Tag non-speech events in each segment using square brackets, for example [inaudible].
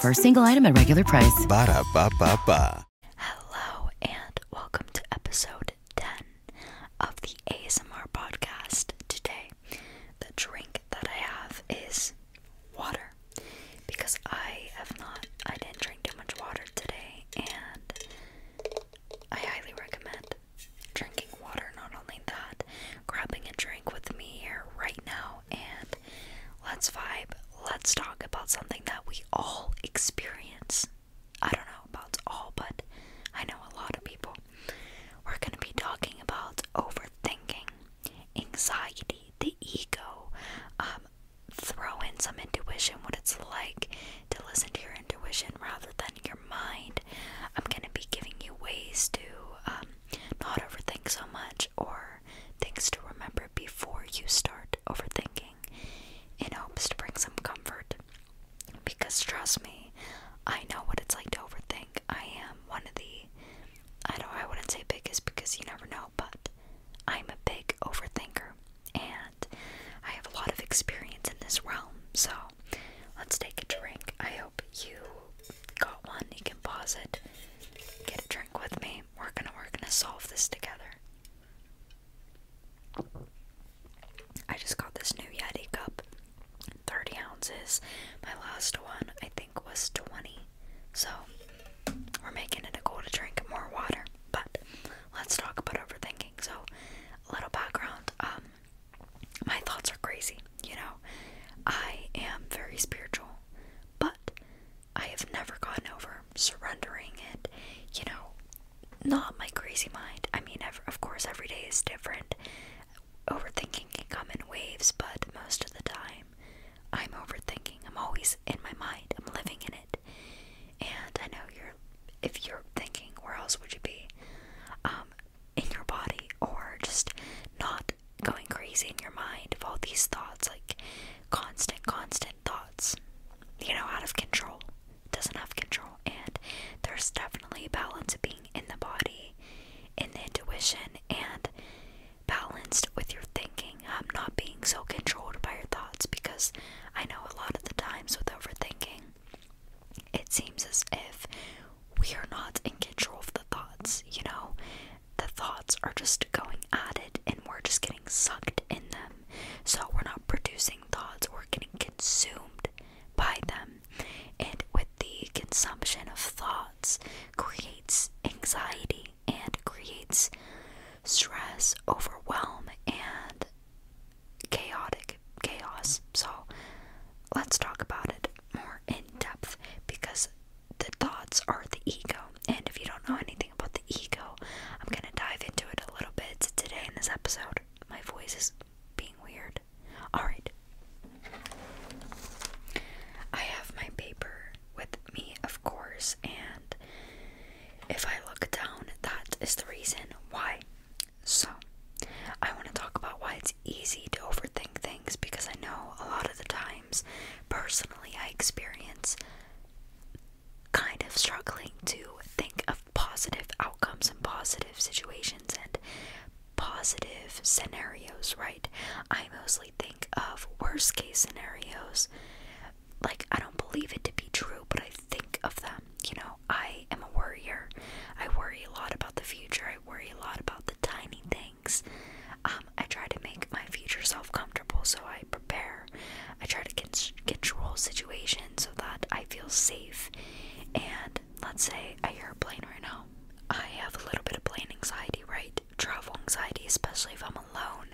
For a single item at regular price. Hello, and welcome to episode 10 of the ASMR podcast. Today, the drink that I have is water because I have not, I didn't drink too much water today, and I highly recommend drinking water. Not only that, grabbing a drink with me here right now and Let's vibe. Let's talk about something that we all experience. I don't know about all, but I know a lot of people. We're going to be talking about overthinking, anxiety, the ego. Um, throw in some intuition, what it's like to listen to your intuition rather than your mind. I'm going to be giving you ways to um, not overthink so much or things to remember before you start overthinking in hopes to bring some comfort. Because trust me, I know what it's like to overthink. I am one of the I don't I wouldn't say biggest because you never know, but I'm a big overthinker and I have a lot of experience in this realm. So, let's take a drink. I hope you got one, you can pause it, get a drink with me. We're gonna we're gonna solve this together. I just got this new Yeti cup, 30 ounces. My last one I think was 20. So we're making it a goal to drink more water. But let's talk about overthinking. So a little background. Um my thoughts are crazy, you know. I am very spiritual. But I have never gotten over surrendering it, you know, not my crazy mind. I mean, ever, of course, every day is different. Overthinking can come in waves, but most of the time, I'm overthinking. I'm always in my mind, I'm living in it. And I know you're, if you're thinking, where else would you be? Um, in your body, or just not going crazy in your mind of all these thoughts, like constant, constant thoughts, you know, out of control. Doesn't have control. And there's definitely a balance of being in the body, in the intuition, and balanced with your thinking. Um, not being so controlled by your thoughts because I know a lot of the times with overthinking, it seems as if we are not in control of the thoughts, you know? the thoughts are just going at it and we're just getting sucked in them. So we're not producing thoughts, we're getting consumed by them. And with the consumption of thoughts creates anxiety and creates stress, overwhelm, and chaotic chaos. So let's talk about it more in depth because the thoughts are the ego. And if you don't know anything about the ego, I'm going to dive into it a little bit today in this episode. My voice is being weird. Alright. I have my paper with me, of course, and if I look down, that is the reason why. So, I want to talk about why it's easy to overthink things because I know a lot of the times personally I experience kind of struggling to think of positive outcomes and positive situations and positive scenarios, right? I mostly think of worst case scenarios. Like, I don't believe it to be true, but I think of them. You know, I am a worrier. I worry a lot about the future. I worry a lot about the tiny things um, I try to make my future self comfortable so I prepare. I try to control situations so that I feel safe. And let's say I hear a plane right now. I have a little bit of plane anxiety, right? Travel anxiety, especially if I'm alone.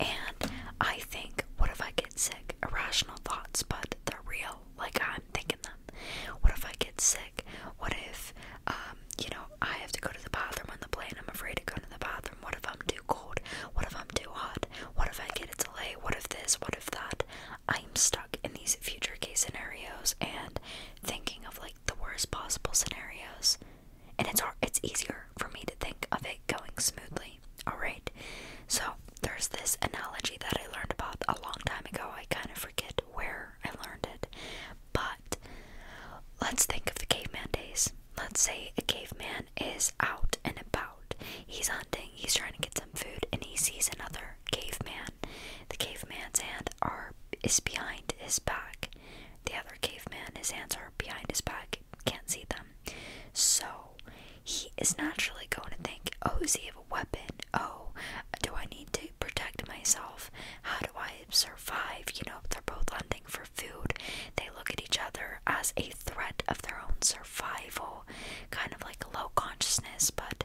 And I think, what if I get sick? Irrational thoughts, but they're real. Like I'm thinking them. What if I get sick? What if, um, you know, I have to go to the bathroom on the plane. I'm afraid to go to the bathroom. What if I'm too cold? What if I'm too hot? What if I get a delay? What if this? What if that? I'm stuck in these future case scenarios and thinking of like the worst possible scenarios. And it's hard, it's easier for me to think of it going smoothly. All right. So, there's this analogy that I learned about a long time ago. I kind of forget where I learned it, but let's think of the caveman days. Let's say a caveman is out and about. He's hunting, he's trying to get some food, and he sees another caveman. The caveman's hand are is behind his back. The other caveman, his hands are behind his back, can't see them. So he is naturally going to think, oh, does he have a weapon? Oh, do I need to protect myself? how do I survive? You know, they're both hunting for food. They look at each other as a threat of their own survival, kind of like low consciousness, but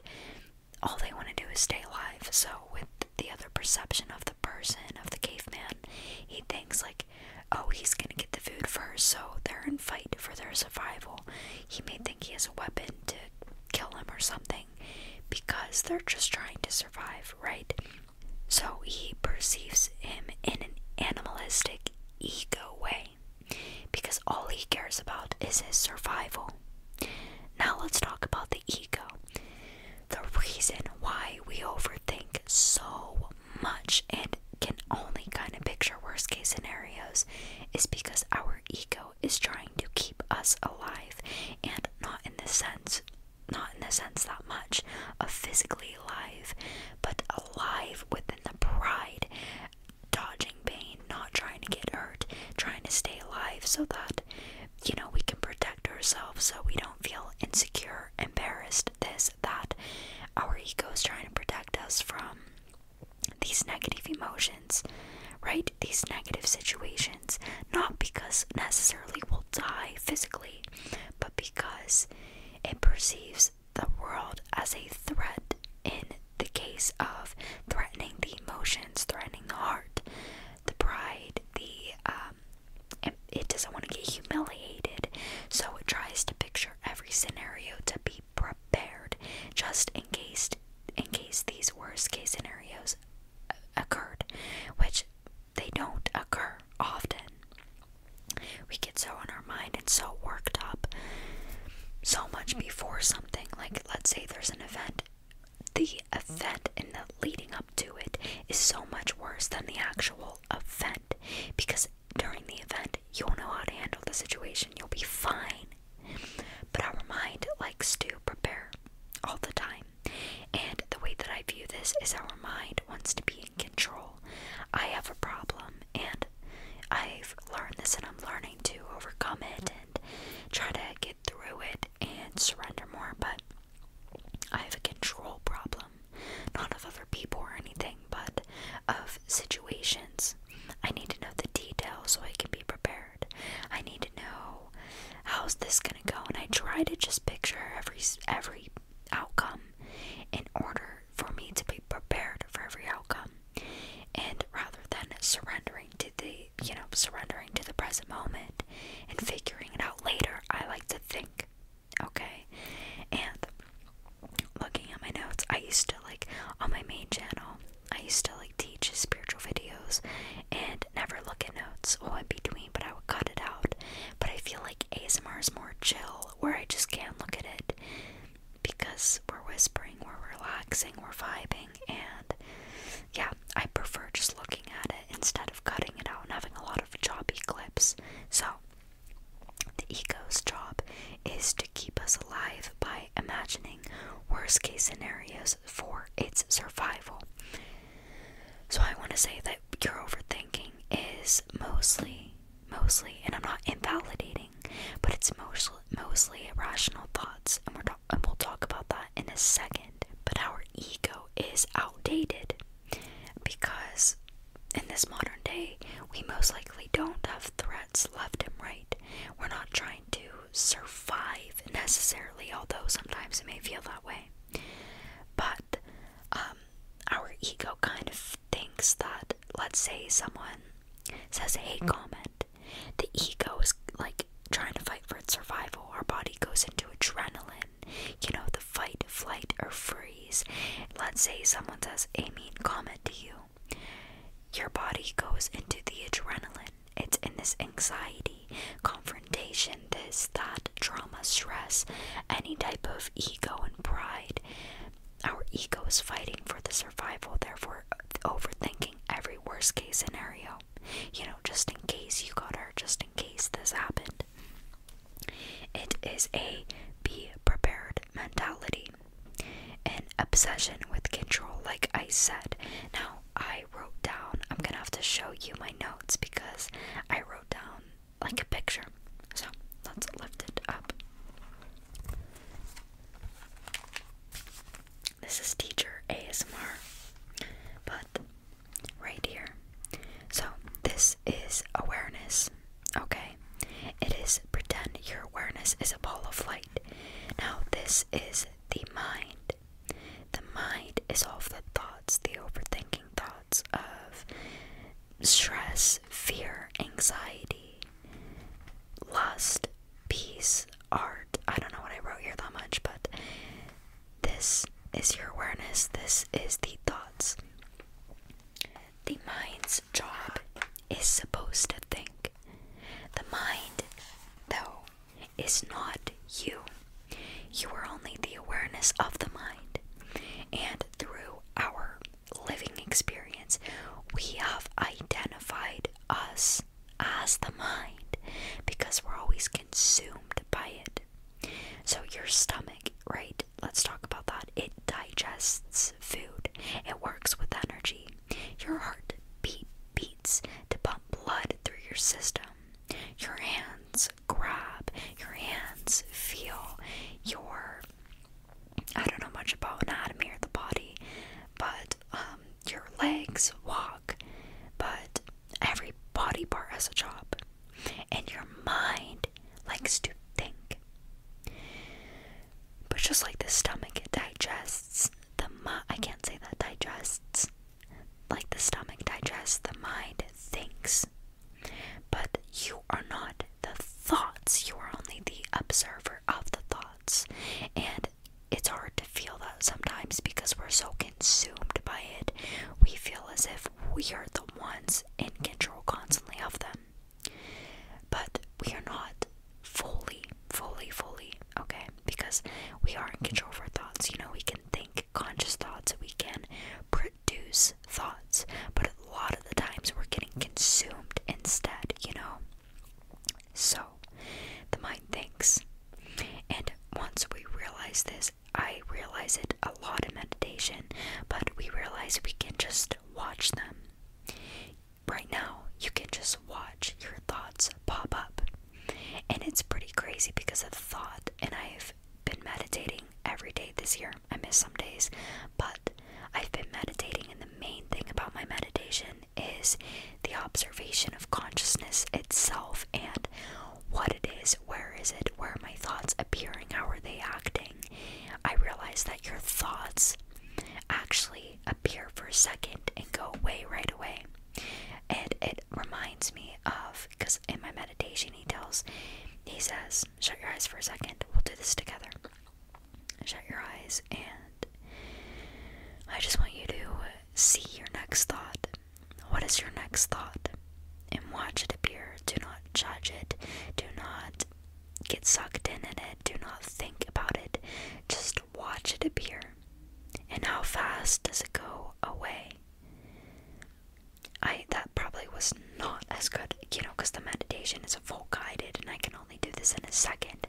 all they want to do is stay alive. So, with the other perception of the person, of the caveman, he thinks, like, oh, he's gonna get the food first, so they're in fight for their survival. He may think he has a weapon to kill him or something because they're just trying to survive, right? So he perceives him in an animalistic ego way because all he cares about is his survival. Now let's talk about the ego. The reason why we overthink so much and can only kind of picture worst case scenarios is because our ego is trying to keep us alive and not in the sense not in the sense that much of physically alive, but alive within the pride, dodging pain, not trying to get hurt, trying to stay alive so that, you know, we can protect ourselves so we don't feel insecure, embarrassed, this, that. Our ego is trying to protect us from these negative emotions, right? These negative situations, not because necessarily we'll die physically, but because it perceives the world as a threat in the case of threatening the emotions, threatening the heart, the pride, the um it doesn't want to get humiliated, so it tries to picture every scenario to be prepared just in case in case these worst case scenarios occurred, which they don't occur often. We get so on our mind and so worked up so much before something. Like, let's say there's an event. The event and the leading up to it is so much worse than the actual event because during the event, you'll know how to handle the situation, you'll be fine. But our mind likes to prepare all the time. And the way that I view this is our mind wants to be in control. I have a problem, and I've learned this, and I'm learning to overcome it and try to get through it and surrender more. But I have a control problem, not of other people or anything, but of situations. I need to know the details so I can be prepared. I need to know how's this gonna go? And I try to just picture every every outcome in order for me to be prepared for every outcome. And rather than surrendering to the you know surrendering to the present moment and figuring it out later, I like to think. Okay, and looking at my notes, I used to like on my main channel. I used to like teach spiritual videos and never look at notes while in between, but I would cut it out. But I feel like ASMR is more chill, where I just can't look at it because we're whispering, we're relaxing, we're vibing, and yeah, I prefer just looking at it instead of cutting it out and having a lot of choppy clips. So, the ego's job is to keep us alive by imagining worst case scenarios for its survival. So I want to say that your overthinking is mostly, mostly, and I'm not invalidating, but it's mostly mostly irrational thoughts, and we and we'll talk about that in a second. But our ego is outdated because in this modern day, we most likely don't have threats left and right. We're not trying to survive necessarily, although sometimes it may feel that way. But um, our ego kind of thinks that, let's say, someone says a comment, the ego is like trying to fight for its survival. Our body goes into adrenaline, you know, the fight, flight, or freeze. Let's say someone says a mean comment to you. Your body goes into the adrenaline. It's in this anxiety, confrontation confrontation, this, that, trauma, stress, any type of ego and pride. Our ego is fighting for the survival, therefore, overthinking every worst case scenario. You know, just in case you got hurt, just in case this happened. It is a be prepared mentality. An obsession with control, like I said. Now, I wrote down, I'm gonna have to show you my notes because I wrote down like a picture. So let's lift it up. This is teacher ASMR, but right here. So this is awareness, okay? It is pretend your awareness is a ball of light. Now, this is the mind. The mind is all the thoughts, the overthinking thoughts of stress, fear, anxiety, lust, peace, art. I don't know what I wrote here that much, but this is your awareness. This is the thoughts. The mind's job is supposed to think. The mind, though, is not you. You are only the awareness of the mind. And through our living experience, we have identified us as the mind because we're always consumed by it. So, your stomach, right? Let's talk about that. It digests food, it works with energy. Your heart beat, beats to pump blood through your system. Your hands grab, your hands feel, your I don't know much about anatomy or the body, but um, your legs walk, but every body part has a job, and your mind likes to think. But just like the stomach, it digests. The mi- I can't say that digests. Like the stomach digests, the mind thinks. But you are not the thoughts, you are only the observer of the thoughts. And it's hard to feel that sometimes because we're so consumed by it. We feel as if we are the ones in control constantly of them. But we are not fully, fully, fully, okay? Because we are in control of our thoughts. You know, we can think conscious thoughts, we can produce thoughts, but a lot of the times we're getting consumed instead, you know? So, the mind thinks. And once we realize this, I realize it a lot in meditation, but we realize we can just watch them. Right now, you can just watch your thoughts pop up. And it's pretty crazy because of thought, and I've been meditating every day this year. I miss some days, but I've been meditating, and the main thing about my meditation is the observation of consciousness itself and what it is, where is it, where are my thoughts appearing, how are they acting. I realize that your thoughts actually appear for a second and go away right away. And it reminds me of because in my meditation he tells he says, Shut your eyes for a second, we'll do this together. Shut your eyes and I just want you to see your next thought. What is your next thought? And watch it appear. Do not judge it. Do not get sucked in in it. Do not think about it. Just watch it appear. And how fast does it go away? I that probably was not as good, you know, because the meditation is a full guided, and I can only do this in a second.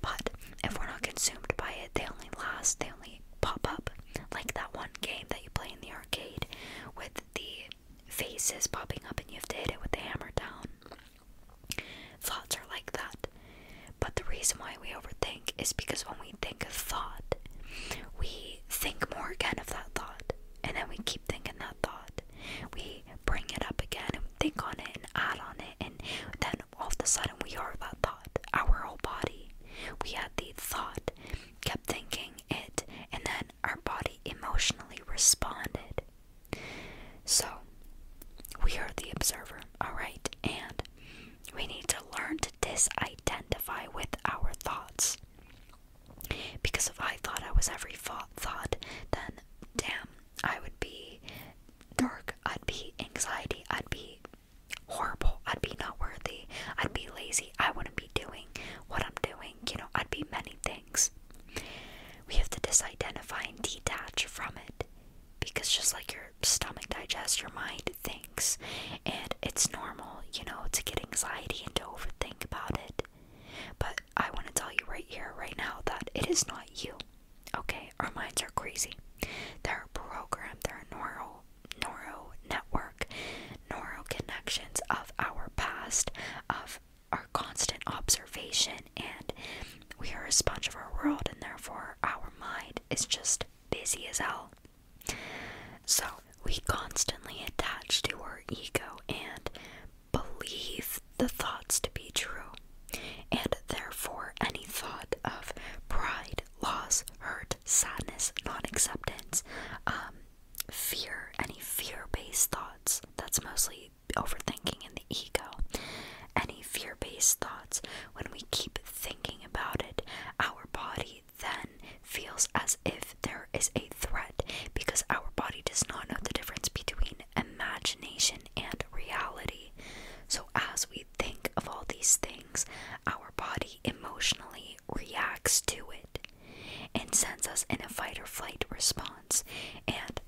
But if we're not consumed by it, they only last. They only pop up like that one game that you play in the arcade with the faces popping up, and you have to hit it with the hammer down. Thoughts are like that. But the reason why we overthink is because when we think of thought, we think more again of that thought, and then we keep thinking that thought. We bring it up again and think on it and add on it, and then all of a sudden we are that thought. Our whole body, we had the thought, kept thinking it, and then our body emotionally responded. So, we are the observer, alright? And we need to learn to disidentify with our thoughts. Because if I thought I was every thought, then damn, I would be dark, I'd be anxiety, I'd be horrible, I'd be not worthy, I'd be lazy, I wouldn't be doing what I'm doing, you know, I'd be many things. We have to disidentify and detach from it because just like your stomach digest, your mind thinks, and it's normal, you know, to get anxiety and to overthink about it. But I want to tell you right here, right now, that it is not you. Okay, our minds are crazy. They're programmed, they're neural, neuro network, neural connections of our past, of our constant observation, and we are a sponge of our world, and therefore our mind is just busy as hell. So we constantly attach to our ego and believe the thoughts to be true, and therefore any thought of pride, loss, hurt, sadness, non acceptance, um, fear, any fear based thoughts that's mostly overthinking in the ego, any fear based thoughts, when we keep thinking about it, our body then feels as if there is a threat because our body does not know the difference between imagination and reality. So, as we think of all these things, our body emotionally reacts to it and sends us in a fight or flight response. And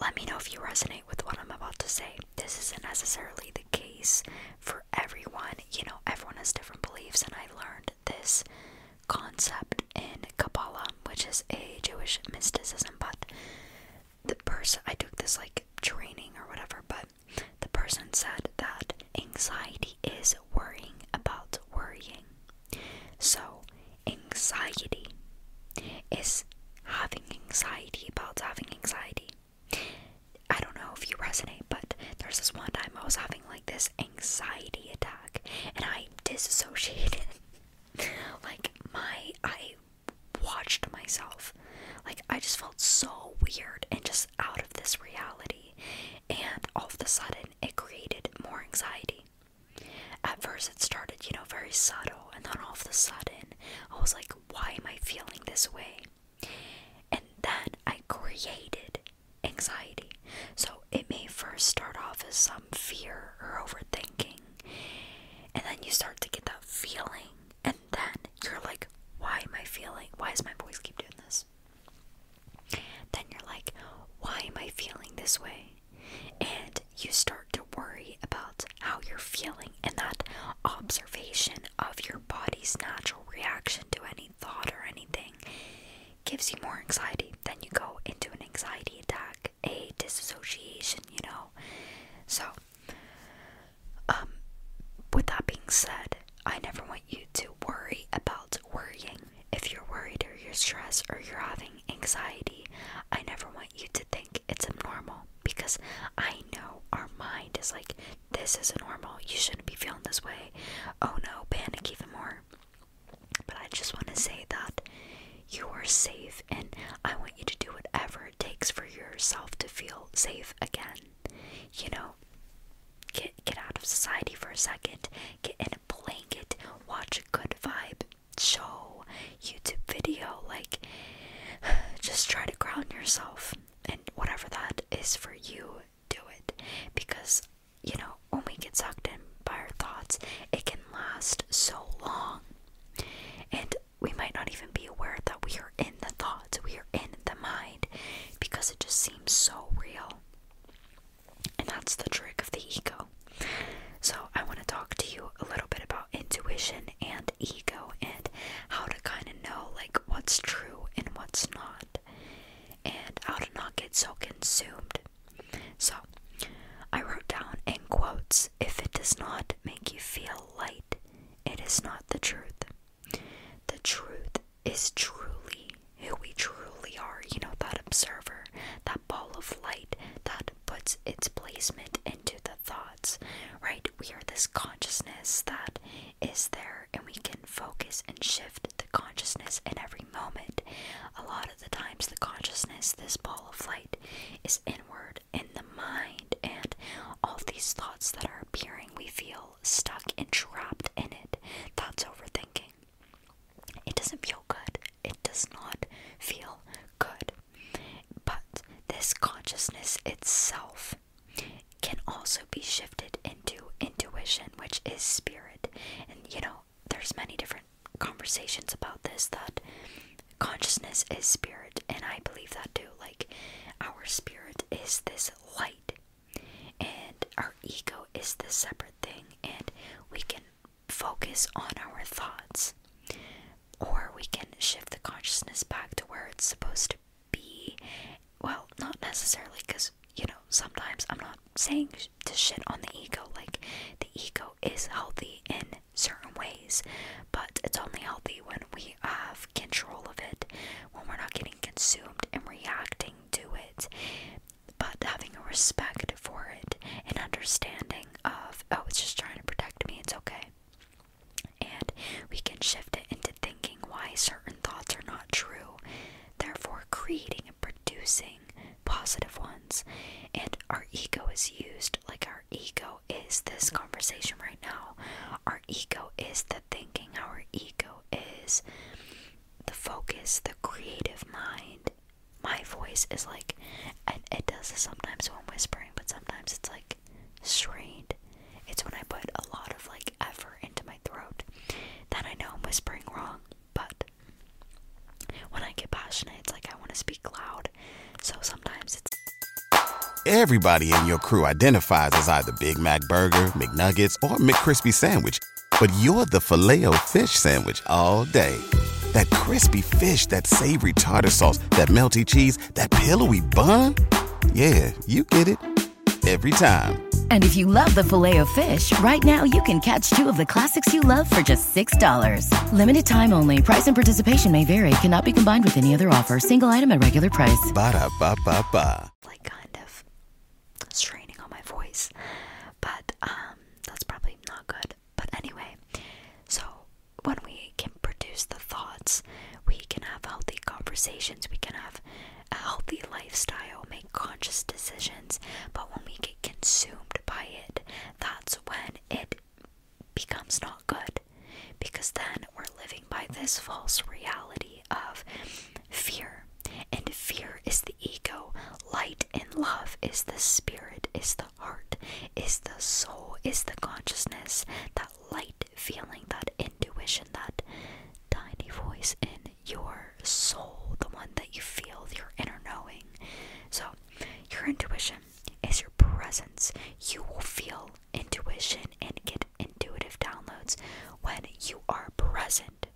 let me know if you resonate with what I'm about to say. This isn't necessarily the case. For everyone. You know, everyone has different beliefs, and I learned this concept in Kabbalah, which is a Jewish mysticism. But the person, I took this like training or whatever, but the person said that anxiety is worrying about worrying. So, anxiety is having anxiety about having anxiety. I don't know if you resonate, but there's this one time I was having like this anxiety attack and I disassociated. [laughs] like, my, I watched myself. Like, I just felt so weird and just out of this reality. And all of a sudden, it created more anxiety. At first, it started, you know, very subtle, and then all of a sudden, I was like, why am I feeling this way? And then I created anxiety. So it may first start off as some fear or overthinking. And then you start to get that feeling. And then you're like, why am I feeling? Why does my voice keep doing this? Then you're like, why am I feeling this way? And you start to worry about how you're feeling and that observation of your body's natural reaction to any thought or anything gives you more anxiety. Then you go into an anxiety attack, a disassociation, you know. So, um, with that being said, I never want you to worry about worrying. If you're worried or you're stressed or you're having anxiety, I never want you to think it's abnormal because I know our mind is like this isn't normal. You shouldn't be feeling this way. Oh no, panic even more. But I just want to say that you are safe, and I want you to do whatever it takes for yourself to feel safe again. You know, get get out of society for a second. Get in a blanket. Watch a good vibe show, YouTube video. Like, [sighs] just try to ground yourself and whatever that is for you, do it because you know when we get sucked in by our thoughts, it can last so long, and we might not even be aware that we are in the thoughts, we are in the mind because it just seems so real. And that's the trick of the ego. So, I want to talk to you a little bit about intuition and ego and how to kind of know like what's true and what's not and how to not get so consumed. So I wrote down in quotes if it does not make you feel light, it is not the truth. The truth is truly who we truly are, you know, that observer, that ball of light that puts its placement into the thoughts, right? We are this consciousness that is there and we can focus and shift the consciousness in every moment. A lot of the times, the consciousness, this ball of light, is inward in the mind, and all these thoughts that are appearing, we feel stuck and trapped in it. Thoughts, overthinking. It doesn't feel good. It does not feel good. But this consciousness itself can also be shifted into intuition, which is spirit. And you know, there's many different conversations about this that consciousness is spirit, and I believe that too. Like, our spirit is this light, and our ego is this separate thing, and we can focus on our thoughts, or we can shift the consciousness back to where it's supposed to be well, not necessarily because you know, sometimes I'm not saying to shit on the ego, like the ego is healthy in certain ways, but it's only healthy when we have control of it, when we're not getting consumed and reacting to it, but having a respect for it, an understanding of, oh, it's just trying to protect me, it's okay. And we can shift it into thinking why certain thoughts are not true, therefore creating and producing positive ones. And our ego is used like our ego is this conversation right now. Our ego is the thinking, our ego is the focus, the creative mind. My voice is like, and it does this sometimes when whispering, but sometimes it's like strained, it's when I put a lot of like effort into my throat. Then I know I'm whispering wrong, but when I get passionate, it's like I want to speak loud. So sometimes it's. Everybody in your crew identifies as either Big Mac Burger, McNuggets, or McCrispy Sandwich, but you're the filet o fish Sandwich all day. That crispy fish, that savory tartar sauce, that melty cheese, that pillowy bun. Yeah, you get it every time. And if you love the filet of fish, right now you can catch two of the classics you love for just $6. Limited time only. Price and participation may vary. Cannot be combined with any other offer. Single item at regular price. Ba da ba ba ba. Like kind of straining on my voice. But um that's probably not good. But anyway, so when we can produce the thoughts we can have healthy conversations, we can have a healthy lifestyle, make conscious decisions, but when we get consumed by it, that's when it becomes not good because then we're living by this false reality of fear. And fear is the ego, light and love is the spirit, is the heart, is the soul, is the consciousness that light feeling, that intuition, that tiny voice in your soul, the one that you feel, your inner knowing. So, your intuition is your presence. You will feel intuition and get intuitive downloads when you are present.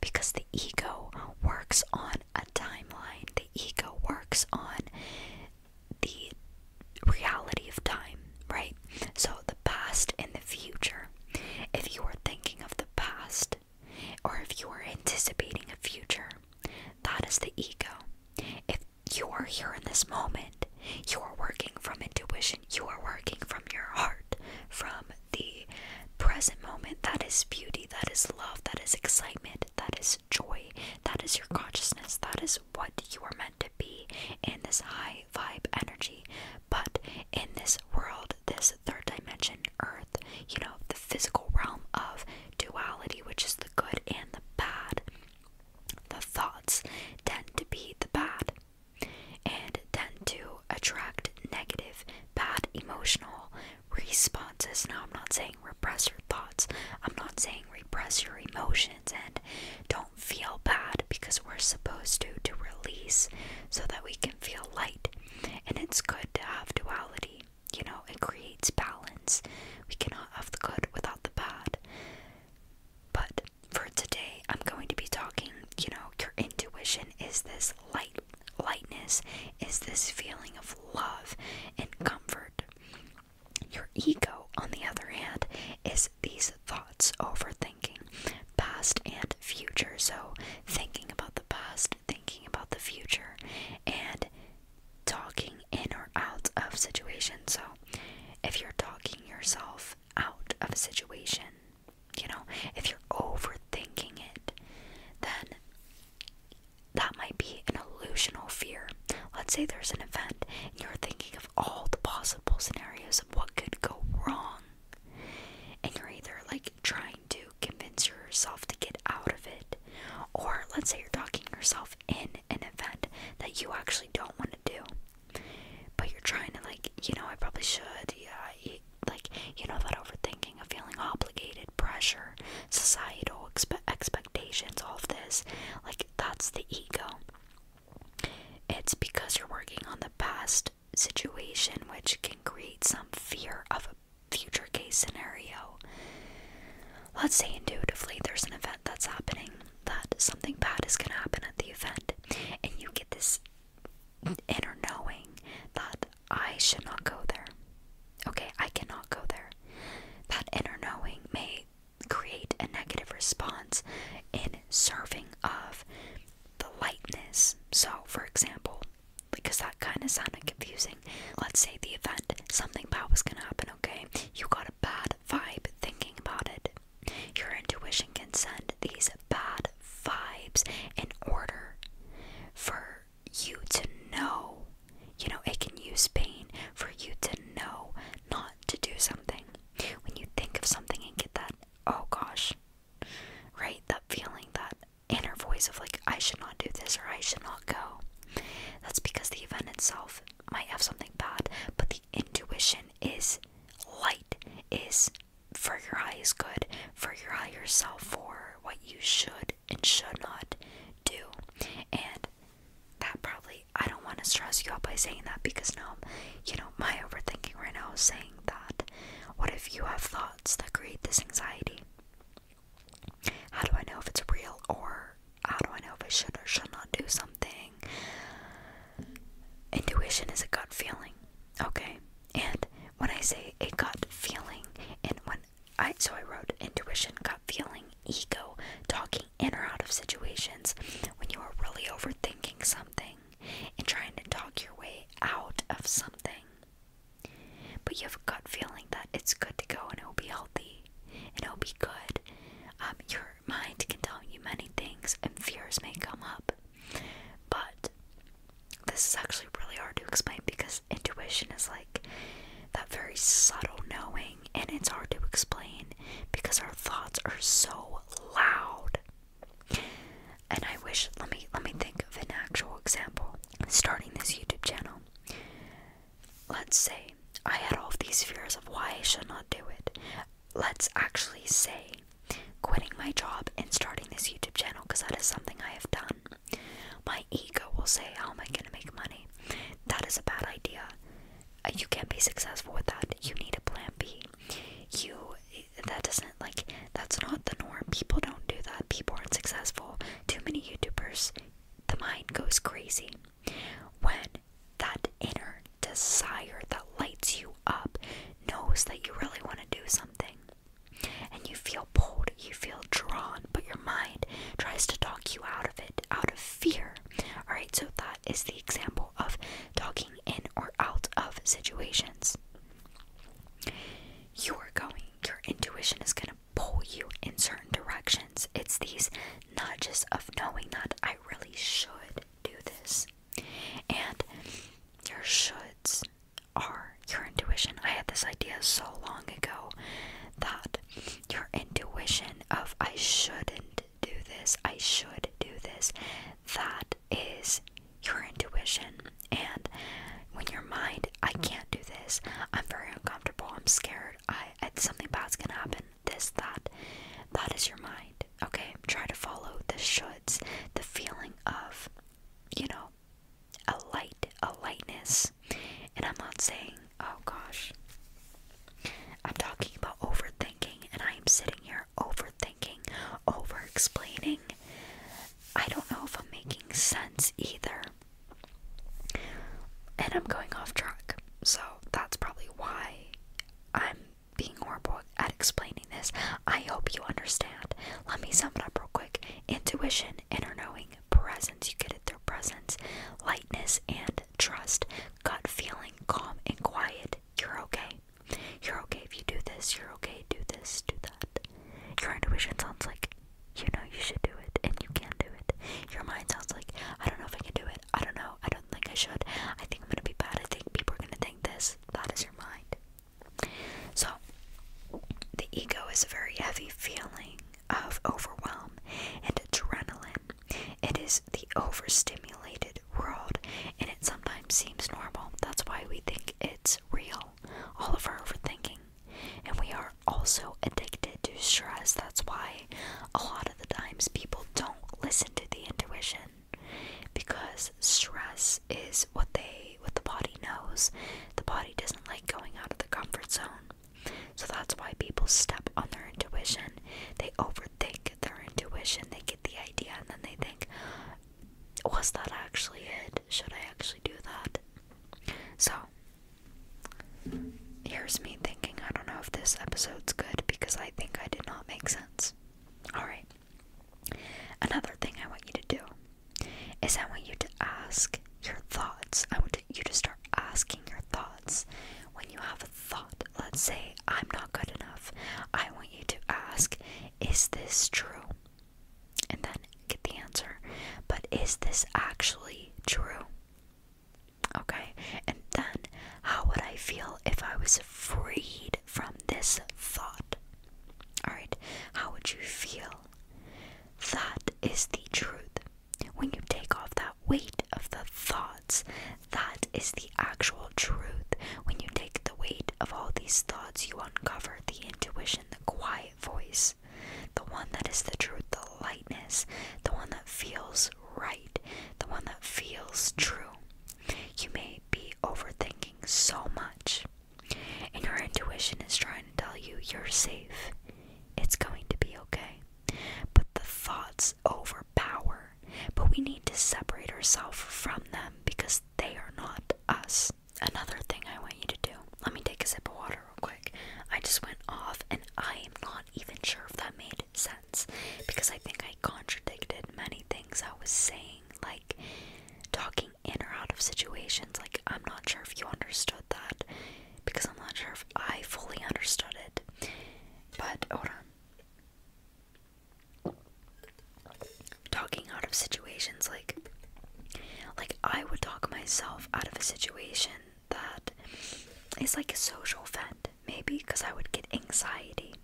Because the ego works on a timeline, the ego works on the reality of time, right? So the past and the future. If you are thinking of the past or if you are anticipating a future, that is the ego. If you are here in this moment, you are working from intuition, you are working from your heart, from the present moment. That is beauty, that is love, that is excitement, that is joy, that is your consciousness, that is what you are meant to be in this high vibe energy. But in this world, this third dimension, Earth, you know, the physical realm of duality, which is the good and the bad, the thoughts tend to be the bad and tend to attract negative, bad emotional responses. Now, I'm not saying repress your thoughts, I'm not saying repress your emotions and don't feel bad because we're supposed to to release so that we can feel light. And it's good to have duality. You know, it creates balance. We cannot have the good without the bad. But for today, I'm going to be talking, you know, your intuition is this light lightness is this feeling of love and comfort. Your ego, on the other hand, is these thoughts overthinking past and future. So, thinking about the past, thinking about the future, and talking in or out of situation. So, if you're talking yourself out of a situation, you know, if you're overthinking it, then that might be an illusional fear. Let's say there's an event and you're thinking of all the possible scenarios of what could go wrong. And you're either like trying to convince yourself to get out of it, or let's say you're talking yourself in an event that you actually don't want to do, but you're trying to, like, you know, I probably should, yeah, like, you know, that overthinking of feeling obligated, pressure, societal expe expectations, all of this, like, that's the ego. It's because you're working on the past situation, which can create some fear of a future case scenario. Let's say intuitively there's an event that's happening, that something bad is going to happen at the event, and you get this inner knowing that I should not go there. Okay, I cannot go there. That inner knowing may create a negative response in serving of the lightness. So, for example, because that kind of sounded confusing, let's say the event, something bad was going to happen, okay? You got a bad vibe thinking about it. Your intuition can send these bad vibes in order for you to know. You know, it can use pain for you to know not to do something. When you think of something and get that, oh gosh, right? That feeling, that inner voice of like, I should not do this or I should not go. That's because the event itself might have something bad, but the intuition is light, is for your highest good, for your higher self, for what you should and should not do. And that probably I don't want to stress you out by saying that because now, you know, my overthinking right now is saying that. What if you have thoughts that create this anxiety? How do I know if it's real or how do I know if I should or should not do something? Intuition is a gut feeling, okay? And when I say a gut feeling, and when I so I wrote intuition, gut feeling, ego, talking in or out of situations when you are really overthinking something and trying to talk your way out of something. But you have a gut feeling that it's good to go and it'll be healthy and it'll be good. Um, your mind can tell you many things and fears may come up. But this is actually really hard to explain because intuition is like that very subtle knowing and it's hard to explain because our thoughts are so loud. And I wish let me let me think of an actual example. Starting this YouTube channel. Let's say I had all these fears of why I should not do it. Let's actually say quitting my job and starting this YouTube channel because that is something I have done. My ego will say, How am I going to make money? That is a bad idea you can't be successful with that. You need a plan B. You that doesn't like that's not the norm. People don't do that. People aren't successful. Too many YouTubers, the mind goes crazy when that inner desire that lights you up knows that you really want to do something and you feel pulled, you feel drawn, but your mind tries to talk you out of it out of fear. All right, so that is the example of talking in or out of situations. You're going, your intuition is going to pull you in certain directions. It's these nudges of knowing that I really should do this. And your shoulds are your intuition. I had this idea so long ago that your intuition of I shouldn't do this, I should do this. That is your intuition. And when your mind, I can't do this, I'm very uncomfortable, I'm scared, I, something bad's gonna happen, this, that, that is your mind. Okay, try to follow the shoulds, the feeling of, you know, a light, a lightness. And I'm not saying, oh gosh, I'm talking about overthinking, and I am sitting here overthinking, over explaining. I don't know if I'm making sense either. And I'm going off track, so that's probably why I'm being horrible at explaining this. I hope you understand. Let me sum it up real quick intuition, inner knowing, presence, you get it through presence, lightness, and trust, gut feeling, calm and quiet, you're okay. You're okay if you do this. You're okay. Do this. Do that. Your intuition sounds like you know you should do it and you can do it. Your mind sounds like I don't know if I can do it. I don't know. I don't think I should. I think I'm gonna be bad. I think people are gonna think this. That is your mind. So the ego is a very heavy feeling of overwhelm and adrenaline it is the overstimulated world, and it sometimes seems normal. That's why we think it's real, all of our overthinking. And we are also addicted to stress. That's why a lot of the times people don't listen to the intuition because stress is what they what the body knows. The body doesn't like going out of the comfort zone. So that's why people step on their intuition. They over think their intuition, they get the idea, and then they think, was that actually it? Should I actually do that? So, here's me thinking, I don't know if this episode's good because I think I did not make sense. Alright. Another thing I want you to do is I want you to ask your thoughts. I want you to start asking your thoughts. When you have a thought, let's say I'm not good enough. I want you to ask, is this true? And then get the answer. But is this actually true? Okay, and then how would I feel if I was freed from this thought? Alright, how would you feel? That is the truth. When you take off that weight of the thoughts. That is the actual truth. When you take the weight of all these thoughts, you uncover the intuition, the quiet voice, the one that is the truth, the lightness, the one that feels right, the one that feels true. You may be overthinking so much, and your intuition is trying to tell you you're safe. It's going to be okay. But the thoughts overpower but we need to separate ourselves from them because they are not us. Another thing I want you to do let me take a sip of water real quick. I just went off, and I am not even sure if that made sense because I think I contradicted many things I was saying, like talking in or out of situations. Like, I'm not sure if you understood that because I'm not sure if I fully understood it. But hold on talking out of situations like like I would talk myself out of a situation that is like a social vent maybe because I would get anxiety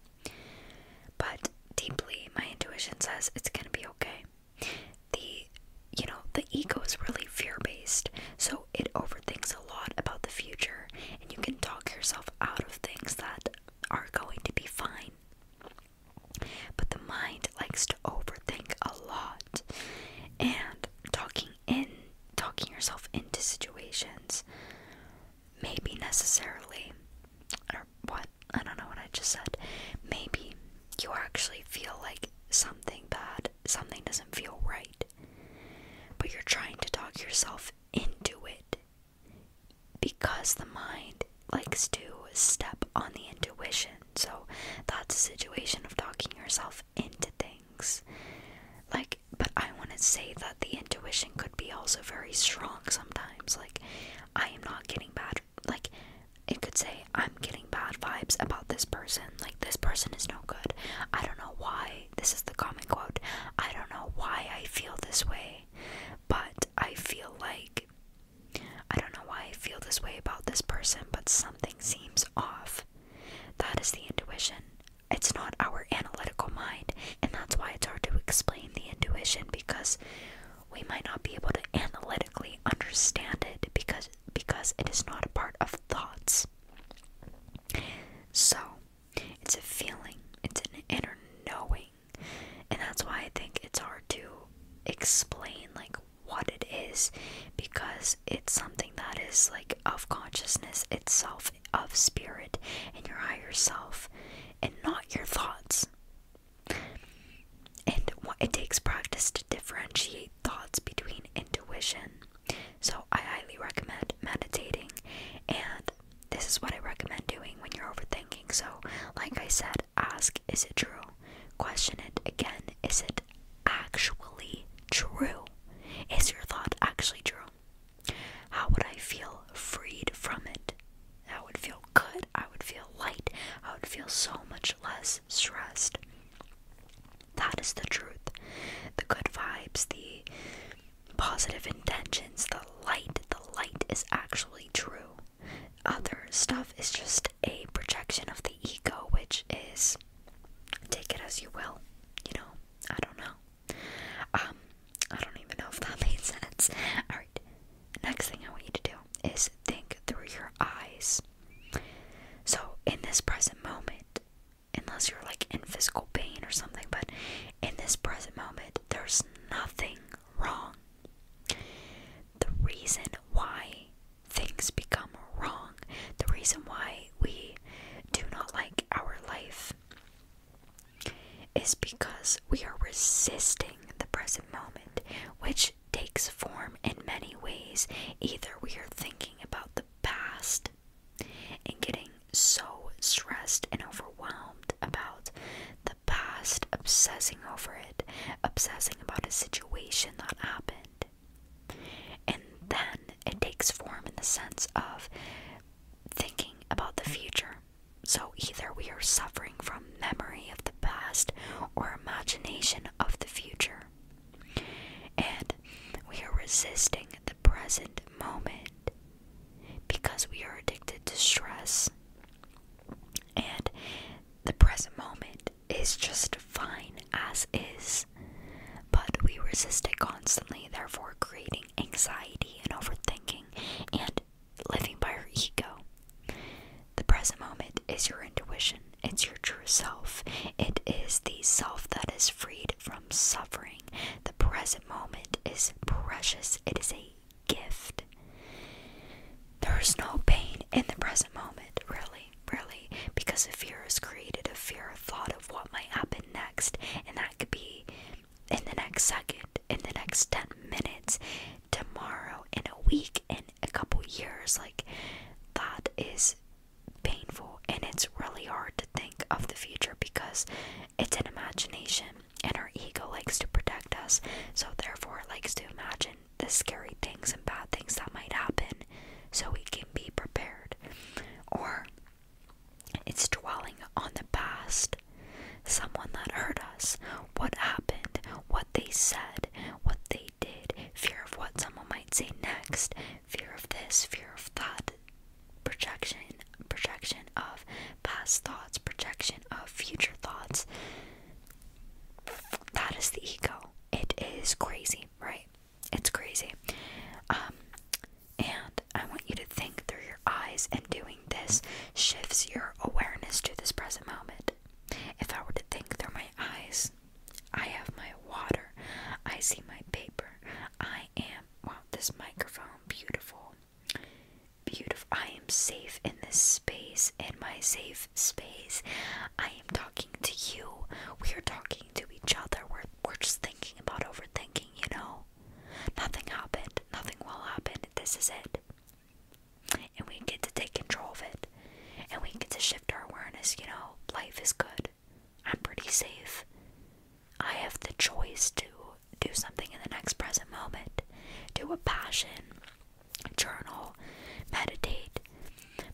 but deeply my intuition says it's going to be okay the you know the ego is really fear based so it overthinks a lot about the future and you can talk yourself out of things that are going to be fine. But the mind likes to overthink a lot and talking in talking yourself into situations maybe necessarily or what I don't know what I just said. Maybe you actually feel like something bad, something doesn't feel right. But you're trying to talk yourself into it because the mind likes to step on the intuition. So that's a situation of talking yourself into things. Like, but I want to say that the intuition could be also very strong sometimes. Like, I am not getting bad. Like, it could say, I'm getting bad vibes about this person. Like, this person is no good. I don't know why this is the common quote, I don't know why I feel this way, but I feel like, I don't know why I feel this way about this person, but something seems off. That is the intuition. It's not our analytical mind, and that's why it's hard to explain the intuition because we might not be able to analytically understand it because because it is not a part of thoughts. So, it's a feeling, it's an inner knowing. And that's why I think it's hard to explain like what it is because it's something that is like of consciousness itself, of spirit and your higher self and not your thoughts. And what it takes practice to differentiate thoughts between intuition so I highly recommend meditating, and this is what I recommend doing when you're overthinking. So, like I said, ask, is it true? Question it again, is it actually true? Is your thought actually true? How would I feel freed from it? I would feel good, I would feel light, I would feel so much less stressed. That is the truth. The good vibes, the positive intentions, the light, the light is actually true. Other stuff is just a projection of the ego, which is take it as you will, you know. I don't know. Um, I don't even know if that [laughs] made sense. Alright, next thing I want you to do is think through your eyes. So, in this present moment, unless you're like in physical pain or something, but in this present moment, there's nothing wrong. The reason why things become wrong, the reason why we do not like our life, is because we are resisting the present moment, which takes form in many ways. Either we are thinking about the past and getting so stressed and overwhelmed about the past, obsessing over it, obsessing about a situation that happened. And then it takes form in the sense of thinking about the future. So either we are suffering from memory of the past or imagination of the future. And we are resisting the present moment because we are addicted to stress. And the present moment is just fine as is, but we resist it constantly, therefore, creating anxiety and overthinking and living by our ego. The present moment is your intuition, it's your true self, it is the self that is freed from suffering. The present moment is precious, it is a gift. There is no pain in the present moment, really, really, because a fear is created, a fear, a thought of what might happen next, and that could be in the next second, in the next 10 minutes, tomorrow, in a week, in a couple years. Like, that is painful, and it's really hard to think of the future because it's an imagination, and our ego likes to protect us, so therefore it likes to imagine the scary things and bad things that might happen so we can be prepared. Or it's dwelling on the past. Someone that hurt us, what happened, what they said, what they did, fear of what someone might say next, fear of this, fear of that, projection projection of past thoughts projection of future thoughts that is the ego it is crazy right it's crazy um and i want you to think through your eyes and doing this shifts your awareness to this present moment if i were to think through my eyes i have my water i see my paper i am wow this microphone beautiful beautiful. I am safe in this space, in my safe space. I am talking to you. We are talking to each other. We're, we're just thinking about overthinking, you know? Nothing happened. Nothing will happen. This is it. And we get to take control of it. And we get to shift our awareness, you know? Life is good. I'm pretty safe. I have the choice to do something in the next present moment, do a passion, journal, meditate.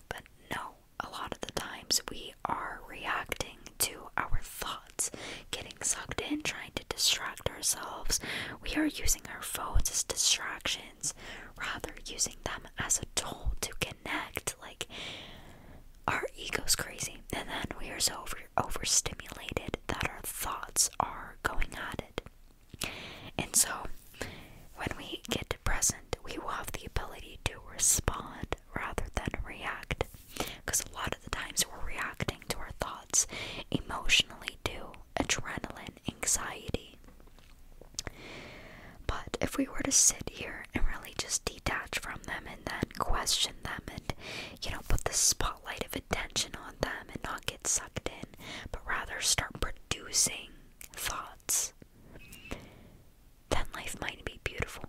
But no, a lot of the times we are reacting to our thoughts, getting sucked in, trying to distract ourselves. We are using our phones as distractions rather using them as a tool to connect like our ego's crazy and then we are so overstimulated that our thoughts are going at it. And so, when we get to present, we will have the ability to respond rather than react. Because a lot of the times we're reacting to our thoughts emotionally do adrenaline, anxiety. But if we were to sit here and really just detach from them and then question them and you know, put the spotlight of attention on them and not get sucked in, but rather start producing thoughts, then life might be beautiful.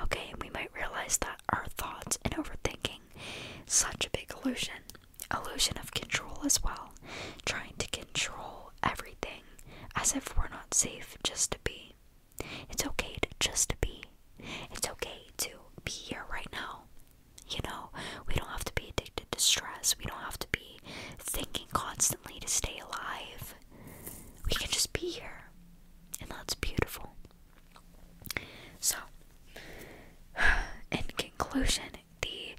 Okay, and we might realize that our thoughts and overthinking, such a big illusion, illusion of control as well, trying to control everything as if we're not safe just to be. It's okay to just be. It's okay to be here right now. You know, we don't have to be addicted to stress. We don't have to be thinking constantly to stay alive. We can just be here. And that's beautiful. So, [sighs] in conclusion, the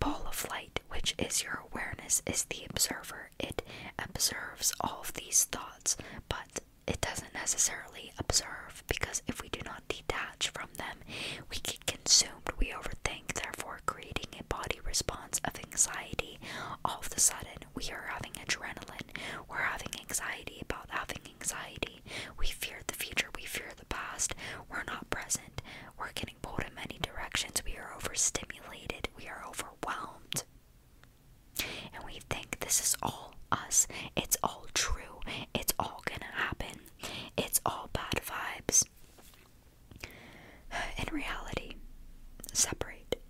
ball of light, which is your awareness, is the observer. It observes all of these thoughts, but it doesn't necessarily observe because if we do not detach from them, we get consumed, we overthink, therefore creating a body response of anxiety. All of a sudden, we are having adrenaline, we're having anxiety about having anxiety. We fear the future, we fear the past, we're not present, we're getting pulled in many directions, we are overstimulated, we are overwhelmed. And we think this is all us. It's all true. It's all gonna happen. It's all bad vibes. [sighs] In reality, separate.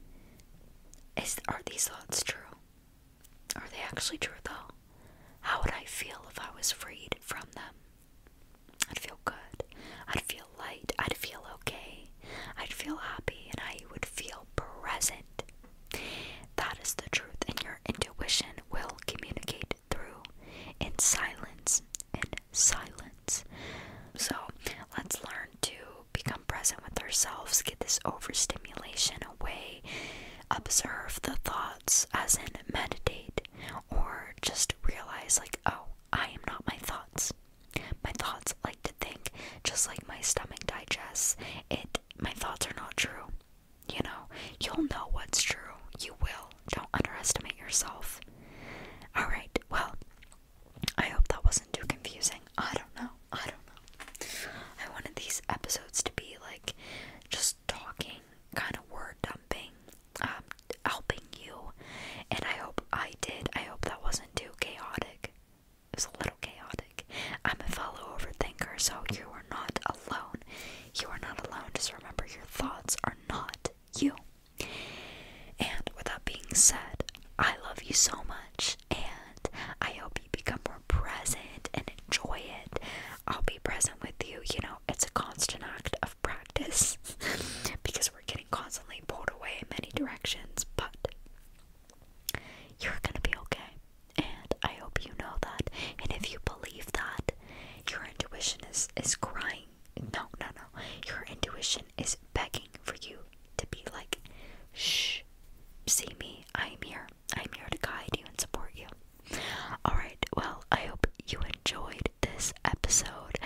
Is are these thoughts true? Are they actually true though? How would I feel if I was freed from them? I'd feel good. I'd feel light. I'd feel okay. I'd feel happy and I would feel present. That is the truth, and your intuition will communicate through in silence. In silence. So let's learn to become present with ourselves, get this overstimulation away, observe the thoughts, as in meditate, or just realize, like, oh, I am not my thoughts. My thoughts like to think, just like my stomach digests, it my thoughts are not true. You know, you'll know what's true. You will. Don't underestimate yourself. Alright, well, I hope that wasn't too confusing. I don't know. I don't know. I wanted these episodes to be like just talking, kind of word dumping, um, helping you. And I hope I did. I hope that wasn't too chaotic. It a little chaotic. I'm a fellow overthinker, so you are not alone. You are not alone. Just remember your thoughts are not you. And with that being said, I love you so much, and I hope you become more present and enjoy it. I'll be present with you. You know, it's a constant act of practice [laughs] because we're getting constantly pulled away in many directions, but you're gonna be okay. And I hope you know that. And if you believe that, your intuition is is crying. No, no, no. Your intuition is begging for you to be like, shh, see me. I'm here. I'm here to guide you and support you. Alright, well, I hope you enjoyed this episode.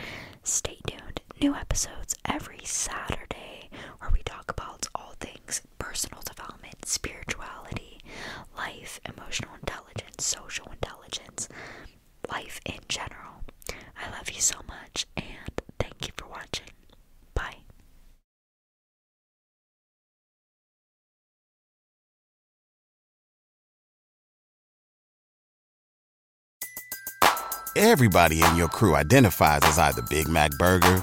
Stay tuned. New episodes every Saturday where we talk about all things personal development, spirituality, life, emotional intelligence, social intelligence, life in general. I love you so much and thank you for watching. Bye. Everybody in your crew identifies as either Big Mac Burger,